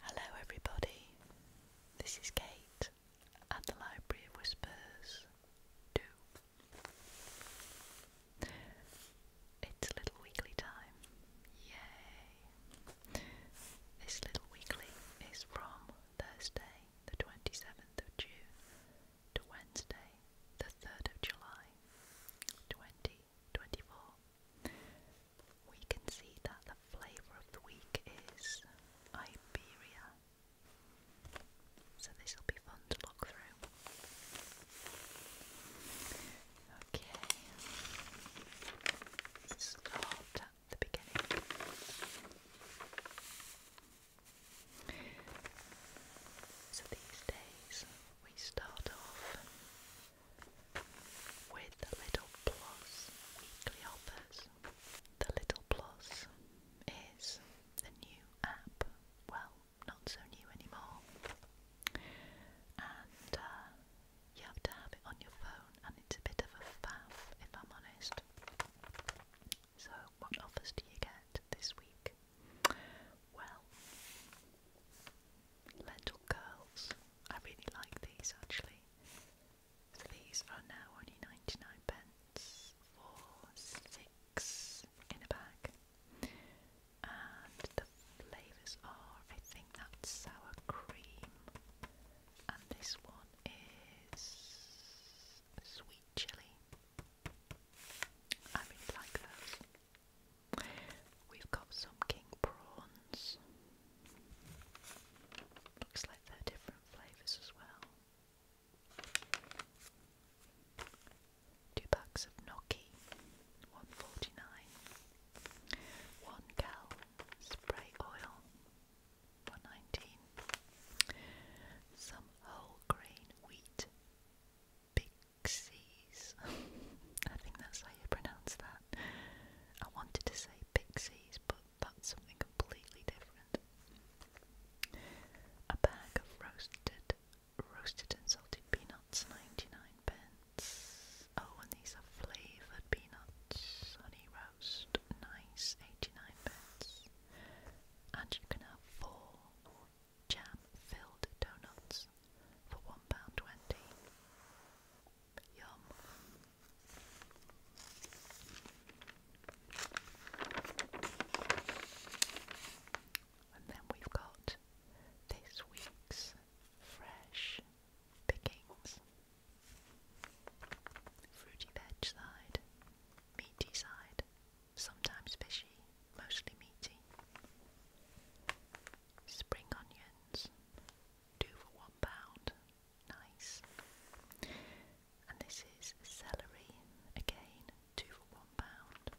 Hello, everybody. This is Kate at the Library of Whispers 2. It's Little Weekly time. Yay! This Little Weekly is from Thursday, the 27th of June to Wednesday, the 3rd of July 2024, we can see that the flavour of the week is Iberia. So this will be fun to look through. Okay, start at the beginning. So these days we start off with the Little Plus weekly offers. The Little Plus is the new app, well, not so new anymore, and uh, you have to have it on your phone, and it's a bit of a faff if I'm honest. So, what offers do you get this week? Well, lentil curls. I really like these actually. So these are now only 99 pence for six in a bag. And the flavours are, I think that's sour cream. And this one is sweet chilli. I really like those. We've got some king prawns. Looks like they're different flavours as well. Two packs of Noki, one forty nine. One gal spray oil, one nineteen. Some whole grain wheat, pixies. I think that's how you pronounce that. I wanted to say pixies, but that's something completely different. A bag of roasted, roasted and salted peanuts, 99 pence. Oh, and these are flavoured peanuts, honey roast, nice, 89 pence. And you can have four jam-filled donuts for £1.20. Yum. And then we've got this week's fresh pickings. Fruity veg side, meaty side, sometimes fishy, mostly meaty. Spring onions, two for one pound, nice. And this is celery, again, two for one pound.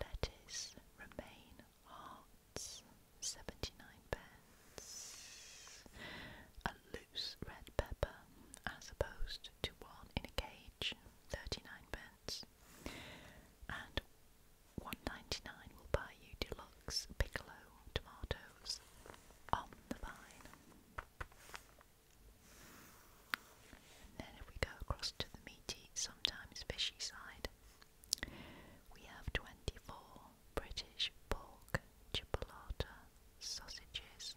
Lettuce, romaine, hearts, 79 pence red pepper as opposed to one in a cage, 39 pence. And 1.99 will buy you deluxe piccolo tomatoes on the vine. then if we go across to the meaty, sometimes fishy side, we have 24 British pork chipolata sausages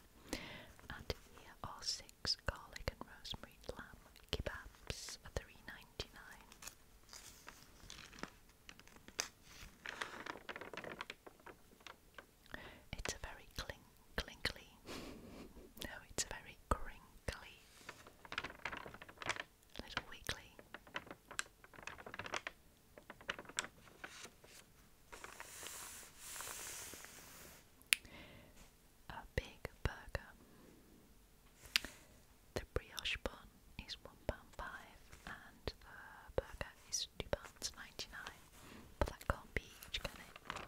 And here are six garlic and rosemary lamb kebabs for three ninety nine. It's a very clink clinkly. no, it's a very crinkly. Little weekly. A big burger. The brioche bun is £1.5 and the burger is £2.99. But that can't be can it?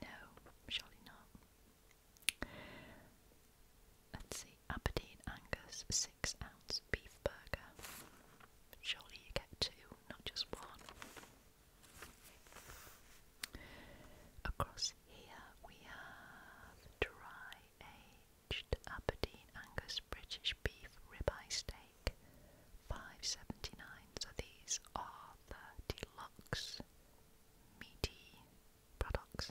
No, surely not. Let's see, Aberdeen Angus 6 ounce beef burger surely you get two, not just one. Across here we have dry aged Aberdeen Angus British beef ribeye steak, five seventy nine. these are the deluxe meaty products.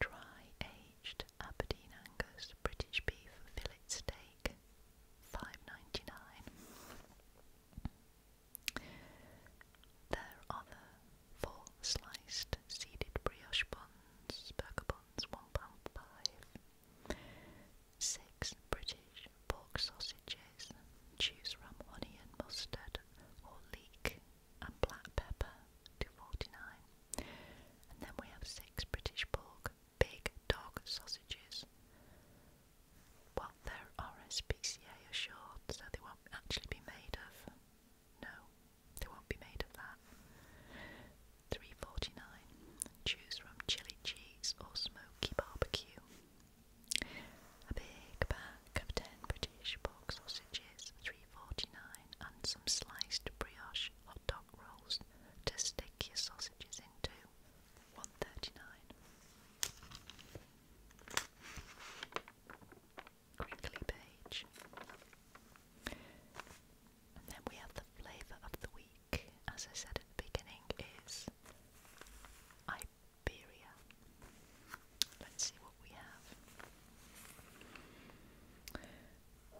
Dry aged Aberdeen Angus British beef fillet steak, Five ninety nine. There are the four sliced seeded brioche buns, burger buns, one pound Six British pork sausages, choose from and mustard, or leek and black pepper, to 49 And then we have six British pork big dog sausages. Well, they're RSPCA assured, so they won't actually be made of. No, they won't be made of that. Three forty nine. Choose from chili cheese or smoky barbecue. A big pack of ten British pork sausages, three forty nine, and some sliced brioche hot dog rolls, to stick your sausages into. One thirty nine. Crinkly page. And then we have the flavour of the week, as I said at the beginning, is Iberia. Let's see what we have.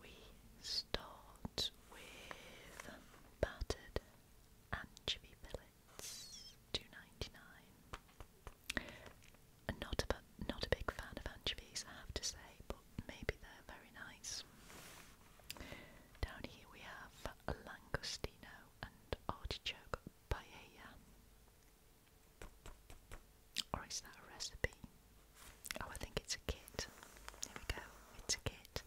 We stole with battered anchovy fillets, two ninety nine. Not a not a big fan of anchovies, I have to say, but maybe they're very nice. Down here we have a langostino and artichoke paella. Or that recipe? Oh, I think it's a kit. Here we go. It's a kit.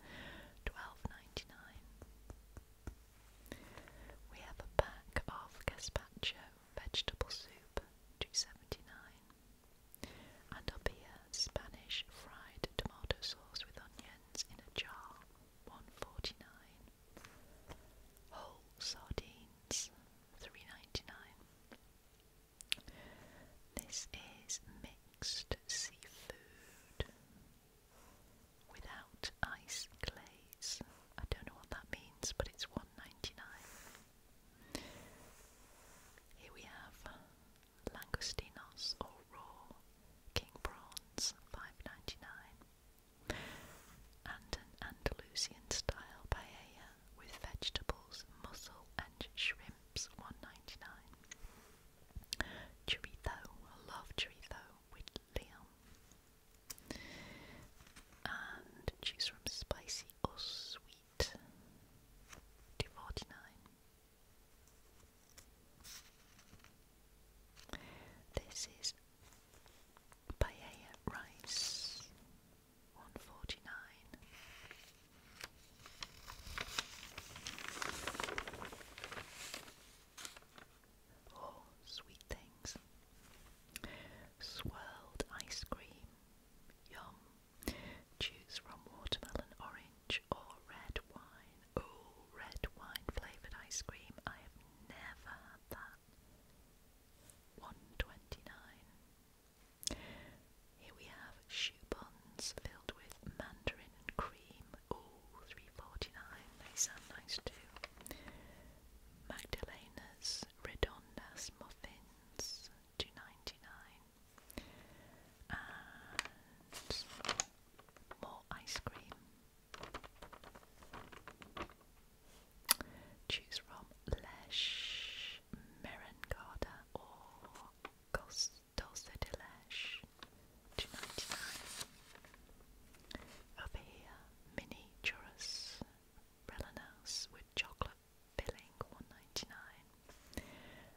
Twelve ninety nine. We have a pack of gazpacho vegetable soup, two seventy nine. And up here, Spanish fried tomato sauce with onions in a jar, one forty nine. Whole sardines, three ninety nine. This is mixed seafood without ice glaze. I don't know what that means, but it's one ninety nine. Here we have langostinos or raw king prawns, five ninety nine, And an Andalusian style paella with vegetables, mussel, and shrimp. Chips, one ninety nine. Chorizo, I love chorizo with Liam. And choose from spicy or sweet, two forty nine. This is paella rice, one forty nine. Oh, sweet things. Swirled ice cream. Yum. Choose from watermelon, orange, or red wine. Oh, red wine flavoured ice cream. I have never had that. One twenty nine. Here we have shoe buns filled with mandarin and cream. Ooh, three forty nine. They sound nice too. Magdalena's redondas muffins, two ninety nine. And more ice cream. Choose from Lesh, Merengarda, or cost Dulce de Leche to 99. here, mini churros, Relanaus with chocolate filling, 199.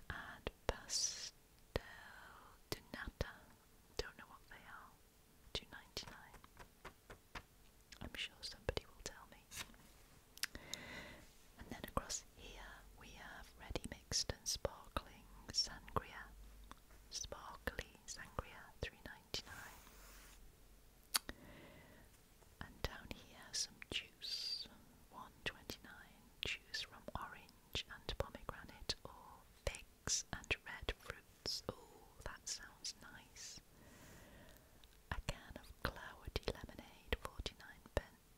And pastel de nata, don't know what they are, 299. I'm sure somebody will tell me. And then across here we have ready mixed and sparkling sangria. Sparkly sangria, three ninety nine. And down here some juice, one twenty nine. Juice from orange and pomegranate or figs and red fruits. Oh, that sounds nice. A can of cloudy lemonade, forty nine pence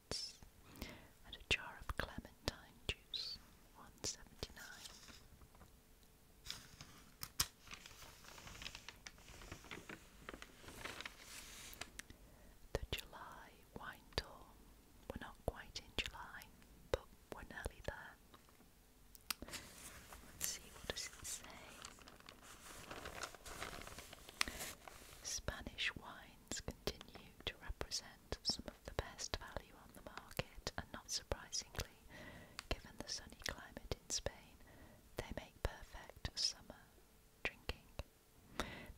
and a jar of clementine juice, one seventy nine. The July wine tour. We're not quite in July, but we're nearly there. Let's see what does it say. Spanish wines continue to represent some of the best value on the market, and not surprisingly, given the sunny climate in Spain, they make perfect summer drinking.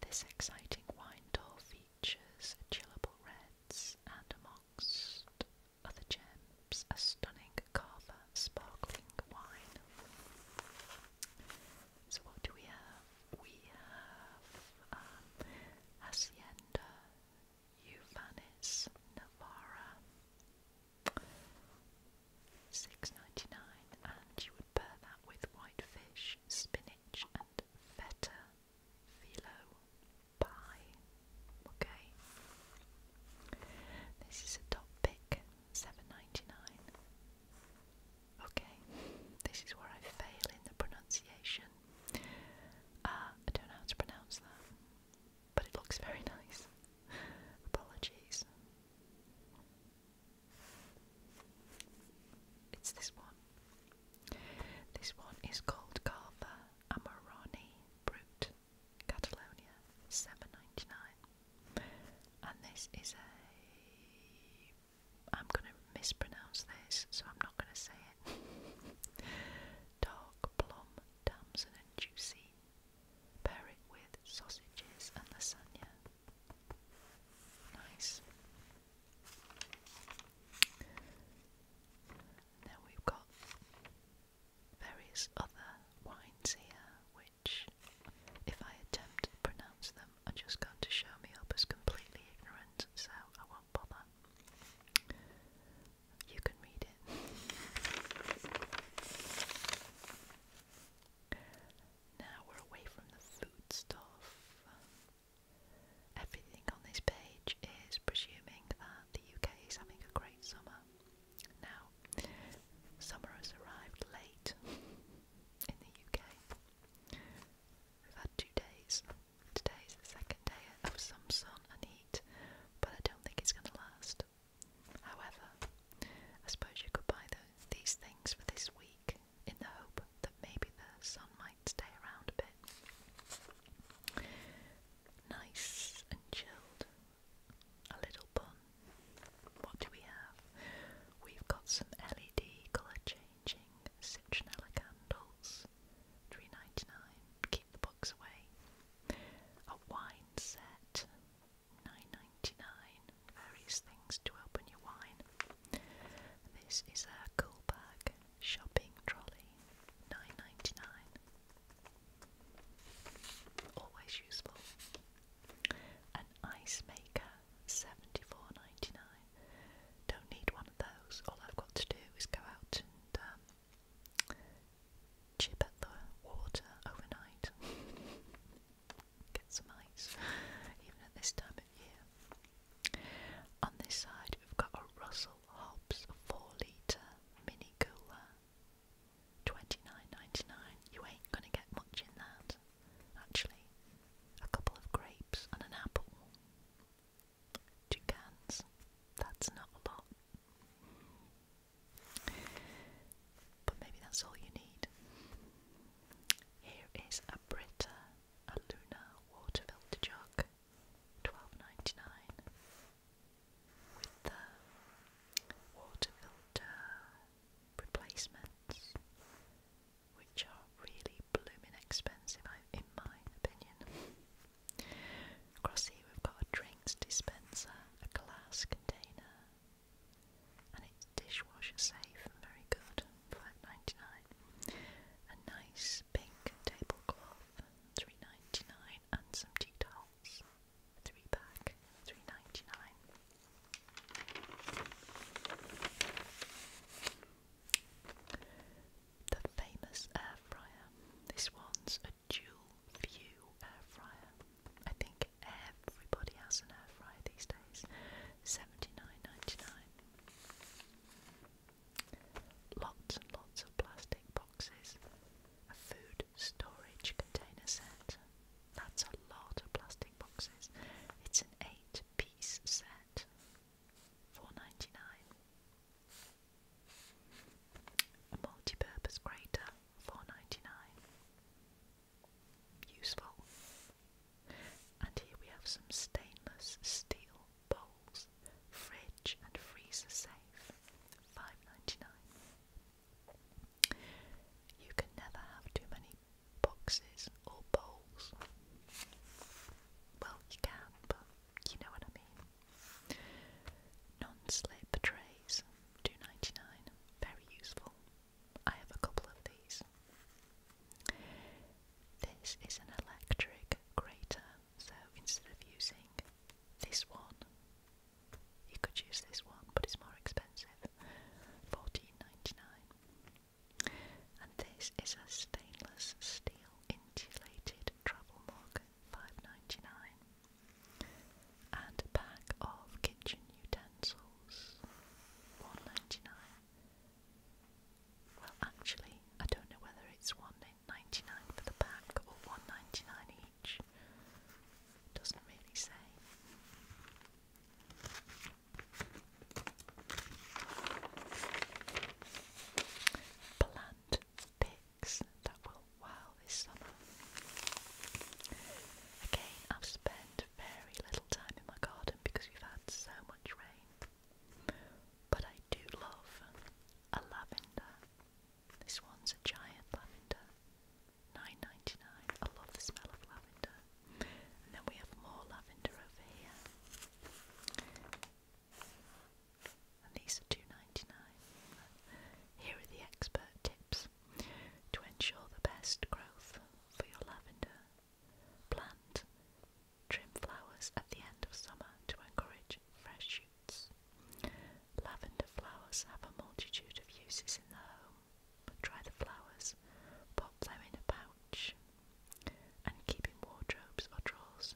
This exciting wine tour features chillable reds and, amongst other gems, a stunning Carver sparkling wine. So what do we have? We have um, Hacienda, Uvanis, six ninety nine, and you would pair that with whitefish, spinach, and feta phyllo pie. Okay, this is a top pick, seven ninety nine. Okay, this is where I fail in the pronunciation. Uh, I don't know how to pronounce that, but it looks very nice. Apologies. It's this one. This one is called Carver Amarani Brut Catalonia, seven ninety nine and this is a. I'm going to mispronounce this, so I'm not going to say it. Dark plum, damson, and juicy. Pair with sausages and lasagna. Nice. Now we've got various other wines here if I attempt to pronounce them, are just going to show me up as completely ignorant, so I won't bother. You can read it. Now we're away from the food stuff. Everything on this page is presuming that the UK is having a great summer. Now, summer has arrived late in the UK. We've had two days. Today's the second day of some sun and heat, but I don't think it's going to last. However, I suppose you could buy the, these things for this week in the hope that maybe the sun might stay around a bit. Nice and chilled. A little bun what do we have? We've got some LED colour changing citronella candles, three ninety nine. Keep the bugs away. A wine set, nine ninety nine. Various things to open your wine. This is a cool bag shopping trolley, nine ninety nine. Always useful. An ice maker, $74.99. Don't need one of those. All I've got to do is go out and um, chip at the water overnight. Get some ice, even at this time of year. On this side, we've got a Russell Hobbs 4 litre mini cooler. Twenty nine ninety nine. You ain't gonna get much in that. Actually, a couple of grapes and an apple. Two cans. That's not a lot. But maybe that's all you need. Here is a Brita a Luna water filter jug, 12 with the water filter replacements, which are really blooming expensive, in my opinion. Across here, we've got a drinks dispenser, a glass container, and it's dishwasher safe and very good, 5 A nice pink tablecloth, 3 and some tea towels a three pack, three ninety nine. The famous air fryer. This one's a dual view air fryer. I think everybody has an air fryer these days. Seventy nine ninety nine. Lots and lots of plastic boxes. A food storage container set. That's a lot of plastic boxes. It's an eight piece set. Four ninety nine. A multi-purpose grater, four ninety nine. Useful. And here we have some stainless steel bowls, fridge and freezer safe, five ninety nine. You can never have too many boxes or bowls. Well, you can, but you know what I mean. Non-slip trays, two ninety nine, very useful. I have a couple of these. This is an electric grater, so instead of using this one, you could use this one, but it's more expensive. Fourteen ninety nine. And this is a stainless steel insulated travel mug, five ninety nine. And a pack of kitchen utensils, one ninety nine. Well, actually, I don't know whether it's one ninety nine for the pack or one ninety nine each. Doesn't really say. Plant picks that will wow this summer. Again, I've spent very little time in my garden because we've had so much rain. But I do love a lavender. This one's a giant lavender nine ninety nine. I love the smell of lavender. then we have more lavender over here. these are two ninety nine. Here are the expert tips to ensure the best growth for your lavender plant. Trim flowers at the end of summer to encourage fresh shoots. Lavender flowers have a multitude of uses in the home, Dry the flowers, pop them in a pouch, and keep in wardrobes or drawers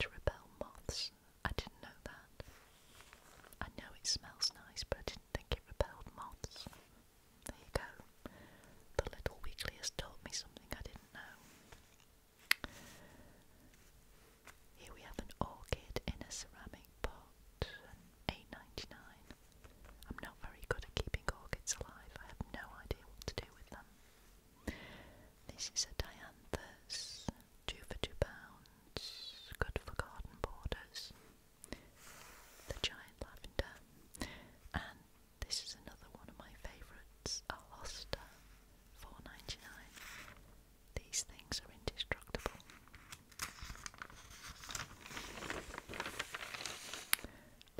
to repel moths. I didn't know that. I know it smells nice, but didn't think it repelled moths. There you go. The little weekly has taught me something I didn't know. Here we have an orchid in a ceramic pot, eight ninety nine. I'm not very good at keeping orchids alive. I have no idea what to do with them. This is a dianthus, two for two pounds, good for garden borders. The giant lavender, and this is another one of my favourites, a hosta, four ninety nine. These things are indestructible.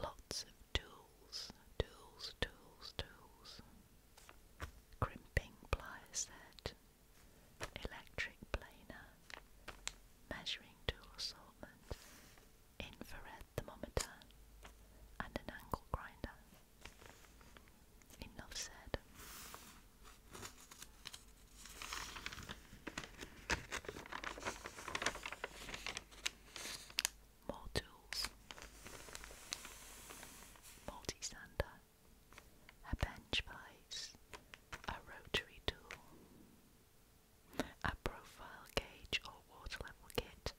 Lots of tools, tools, tools, tools. Crimping pliers set, electric planer, measuring tool assortment, infrared thermometer, and an angle grinder. Enough said tools. Multi-sander. A bench vise. A rotary tool. A profile gauge or water level kit.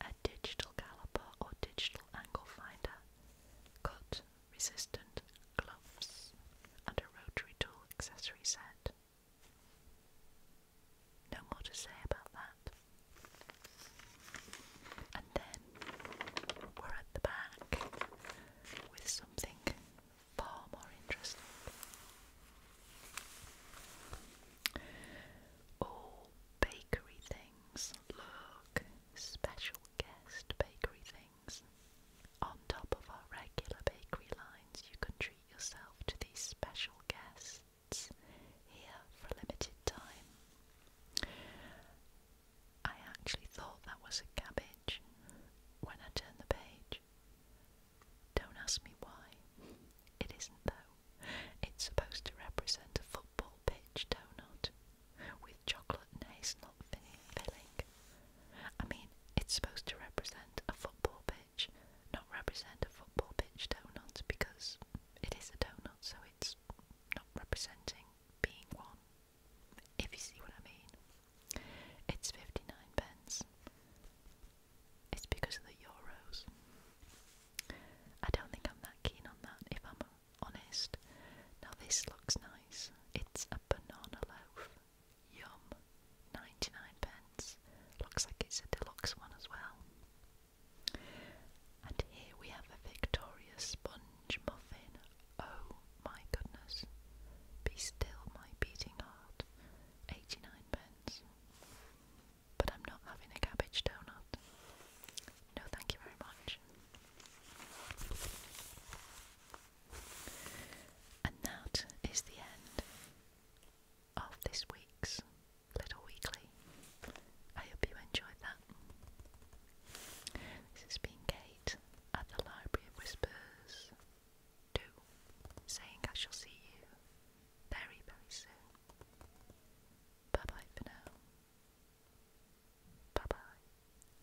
A digital caliper or digital angle finder. Cut resistant gloves, and a rotary tool accessory set. No more to say about that. And then we're at the back with something far more interesting. All bakery things. Look, special guest bakery things. On top of our regular bakery lines, you can treat yourself to these special guests here for limited time. I actually thought that was a cabbage when I turned the page. Don't ask me why. It isn't though. It's supposed to represent a football pitch donut chocolate and hazelnut filling. I mean, it's supposed to represent a football pitch, not represent a football pitch donut because it is a donut, so it's not representing being one. If you see what I mean, it's 59 pence. It's because of the euros. I don't think I'm that keen on that, if I'm honest. Now, this looks nice. It's a banana loaf. Yum. 99 pence. Looks like it's a deluxe one as well. And here we have a Victoria sponge muffin. Oh my goodness. Be still, my beating heart. 89 pence. But I'm not having a cabbage donut. No, thank you very much. And that is the end of this week's Little Weekly. I hope you enjoyed that. This has been Kate at the Library of Whispers 2 saying I shall see you very, very soon. Bye bye for now. Bye bye.